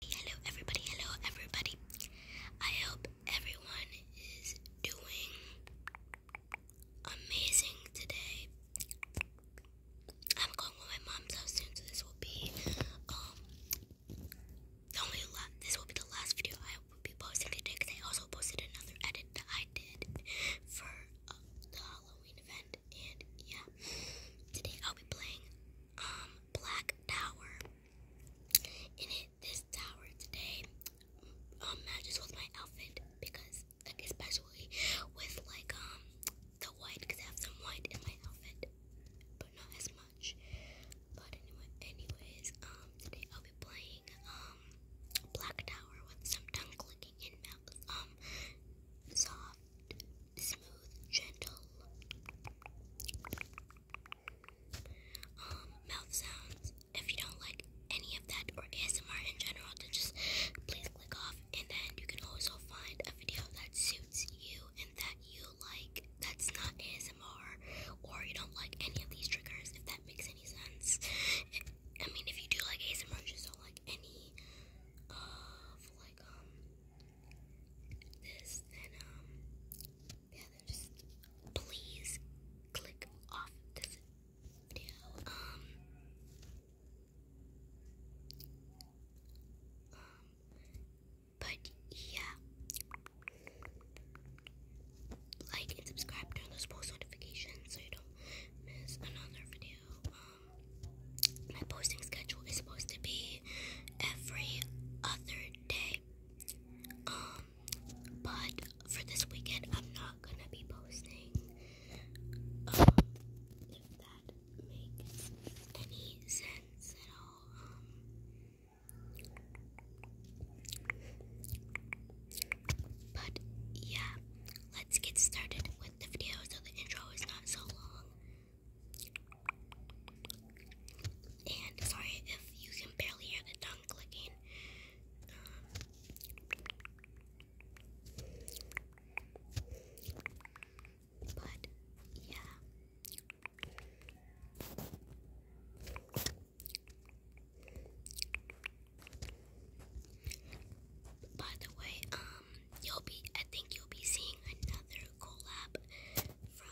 Hello, everybody. Hello, everybody. I hope everyone is doing amazing today. I'm going with my mom so soon, so this will be um only la- this will be the last video I will be posting today because I also posted another edit that I did for uh, the Halloween event, and yeah, today I'll be playing um, black tower. In it, this tower today um, matches with my outfit because, especially with like um the white, because I have some white in my outfit, but not as much. But anyway, anyways, um, today I'll be playing um black tower with some tongue clicking and mouth um soft smooth, gentle um, mouth sounds. If you don't like any of that or ASMR in general, then just please click off. And then you can also find a video that suits you and that you like that's not ASMR or you don't like any of these triggers, if that makes any sense. I mean, if you do like ASMR, just don't like any of like, um, this, then, um, yeah, just please click off this video. Um, um but yeah, like and subscribe, turn those post notifications so you don't miss another video. Um, my posting schedule is supposed to be every other day. Um, but for this weekend, I'm not gonna be posting. Um, if that makes any sense at all. but yeah, let's get started with the video so the intro is not so long. And sorry if you can barely hear the tongue clicking. but yeah. By the way, um, you'll be I think you'll be seeing another collab from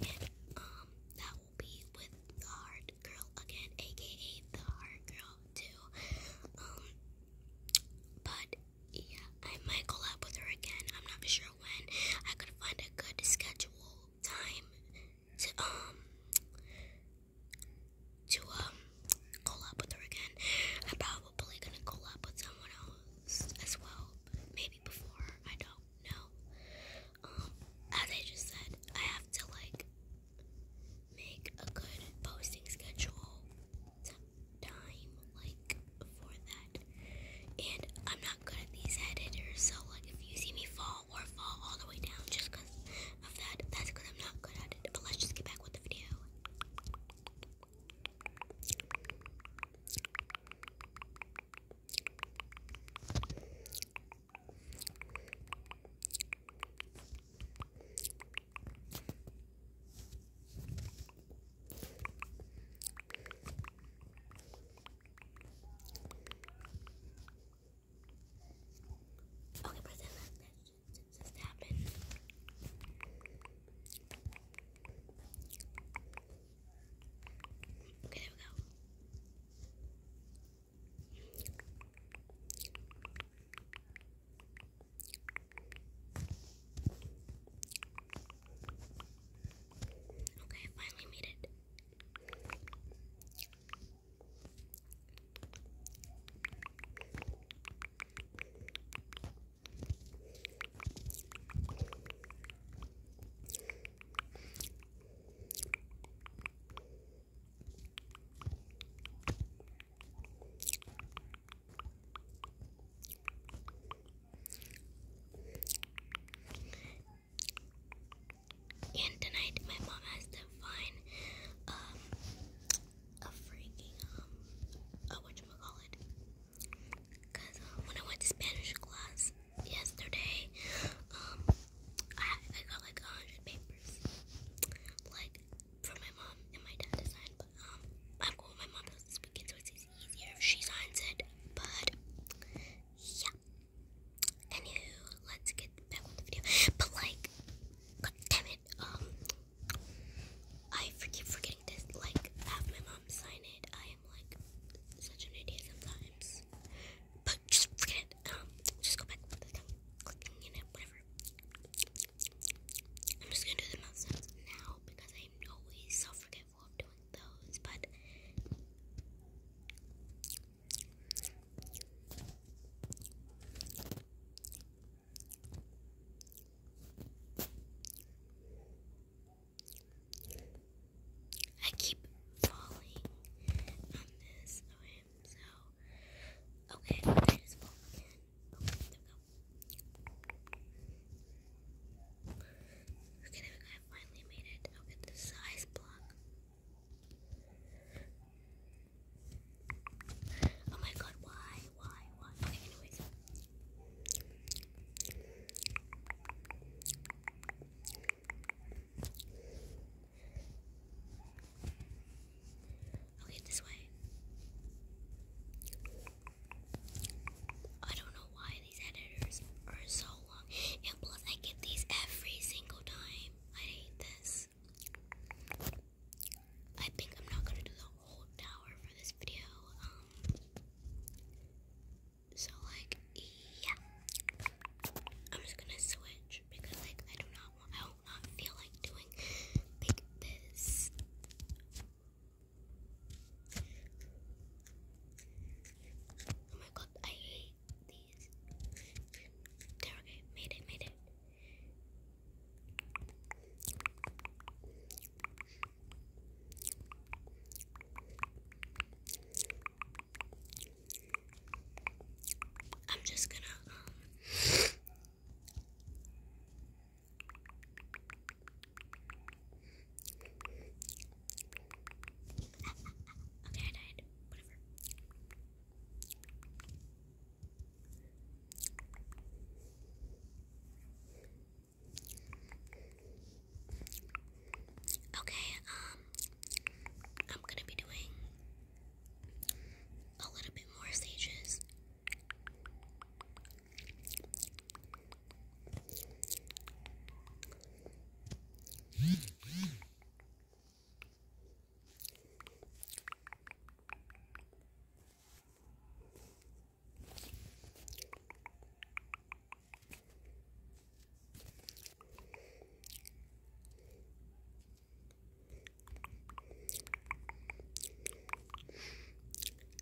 me, um, that will be with the hard girl again, aka the hard girl too. Um, but yeah, I might collab with her again. I'm not sure when. I could find a good schedule time to um to um collab with her again. I'm probably gonna collab with someone else as well. Maybe before, I don't know. Um, as I just said, I have to like make a good posting schedule time like for that. And I'm not good at these editors, so like if you see me fall or fall all the way down just because of that, that's because I'm not good at it. But let's just get back with the video. Okay, but then since this happened. Okay, there we go. Okay, finally made it. And tonight, my mom has to find um, a freaking um, a whatchamacallit. Because uh, when I went to Spanish class yesterday, um, I, I got like 100 papers. Like, from my mom and my dad to sign. But, um, I'm cool my mom does this weekend, so it's easier if she signs it. But, yeah. Anywho, let's get back with the video. But, like, god um, I keep forgetting like, have my mom sign it. I am, like, such an idiot sometimes. But just forget it. Um, just go back clicking in it, whatever. I'm just gonna do the mouth sounds now because I'm always so forgetful of doing those, but. I keep falling on this. Okay, I just fall again. I finally made it. size block. Oh my god, why, why, why? Okay, this way. I don't know why these editors are so long. And plus, I get these every single time. I hate this. I think I'm not gonna do the whole tower for this video. Um, so like, yeah. I'm just gonna switch because like I do not I don't feel like doing this. Oh my god, I hate these. There, okay, made it, made it. I'm just gonna, um, okay, I died, whatever. Okay, um, I'm gonna be doing a little bit more stages.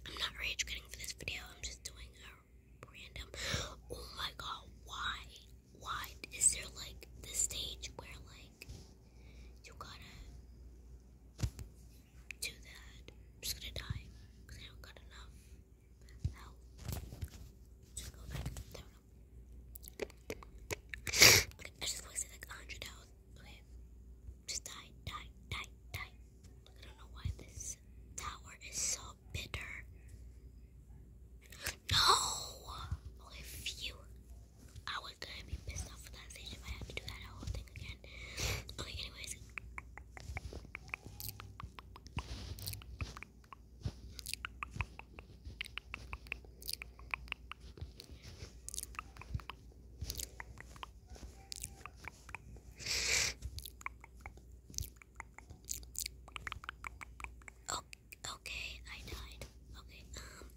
I'm not rage quitting for this video. I'm just doing a random. Oh my god, why? Why is there like this stage where like you gotta do that? I'm just gonna die because I don't got enough. Now, just I just wasted like a hundred dollars. Okay, just die, die, die, die. I don't know why this tower is so bitter. No! Okay, phew. I was gonna be pissed off with that stage if I had to do that whole thing again. Okay, anyways. Oh, okay, I died. Okay, um,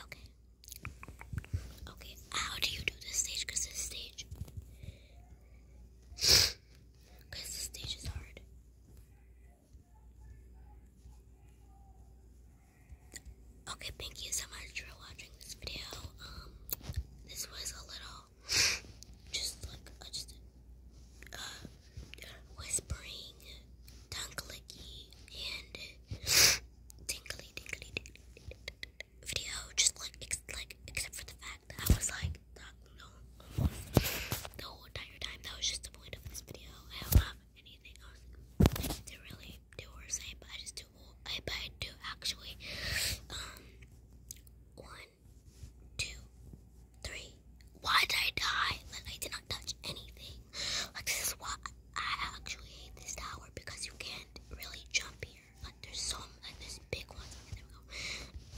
okay, okay. How do you do this stage? Cause this stage. Okay, thank you so much for watching this video. Um, this was a little, just like, uh, just, uh, whispering, tongue clicky, and tingly, tingly, video, just like ex like except for the fact that I was like not no almost the whole entire time. That was just the point of this video. I don't have anything else to really do or say, but I just do. I but I do actually. Um, one, two, three. Why did I die? Like I did not touch anything. Like this is why I actually hate this tower because you can't really jump here here. there's some, like this big one. there we go.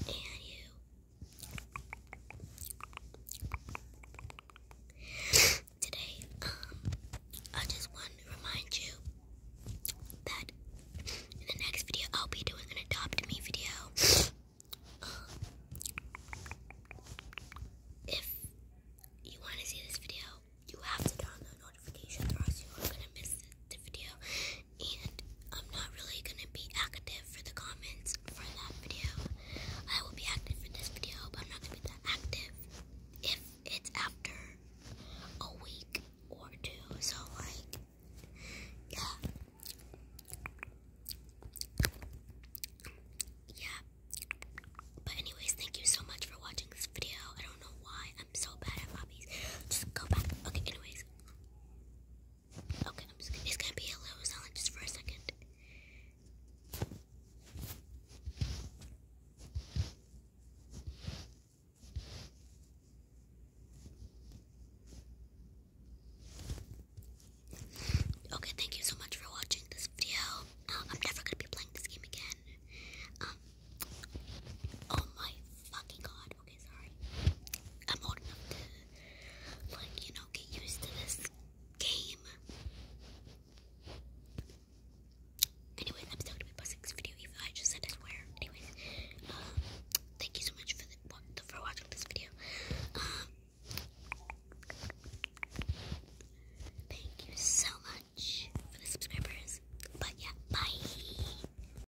And you. Today, um, I just want to remind you that in the next video I'll be doing an adopt me video. Um, if you want to see this video, you have to turn on the notifications or else you are going to miss the video and I'm not really going to be active for the comments for that video. I will be active for this video, but I'm not going to be that active if it's after a week or two. So, like, yeah. Yeah. But anyways, thank you so much for watching this video. I don't know why I'm so bad at hobbies. Just go back. Okay, anyways. Okay, I'm just gonna, it's gonna be a little silent just for a second. Okay, thank you so much for watching this video. Uh, I'm never gonna be playing this game again. Um, oh my fucking god okay, sorry. I'm old enough to, like, you know, get used to this game. Anyway, I'm still gonna be posting this video, even I just said I swear. Anyways, um, thank you so much for, for watching this video. Um, thank you so much for the subscribers. But yeah, bye.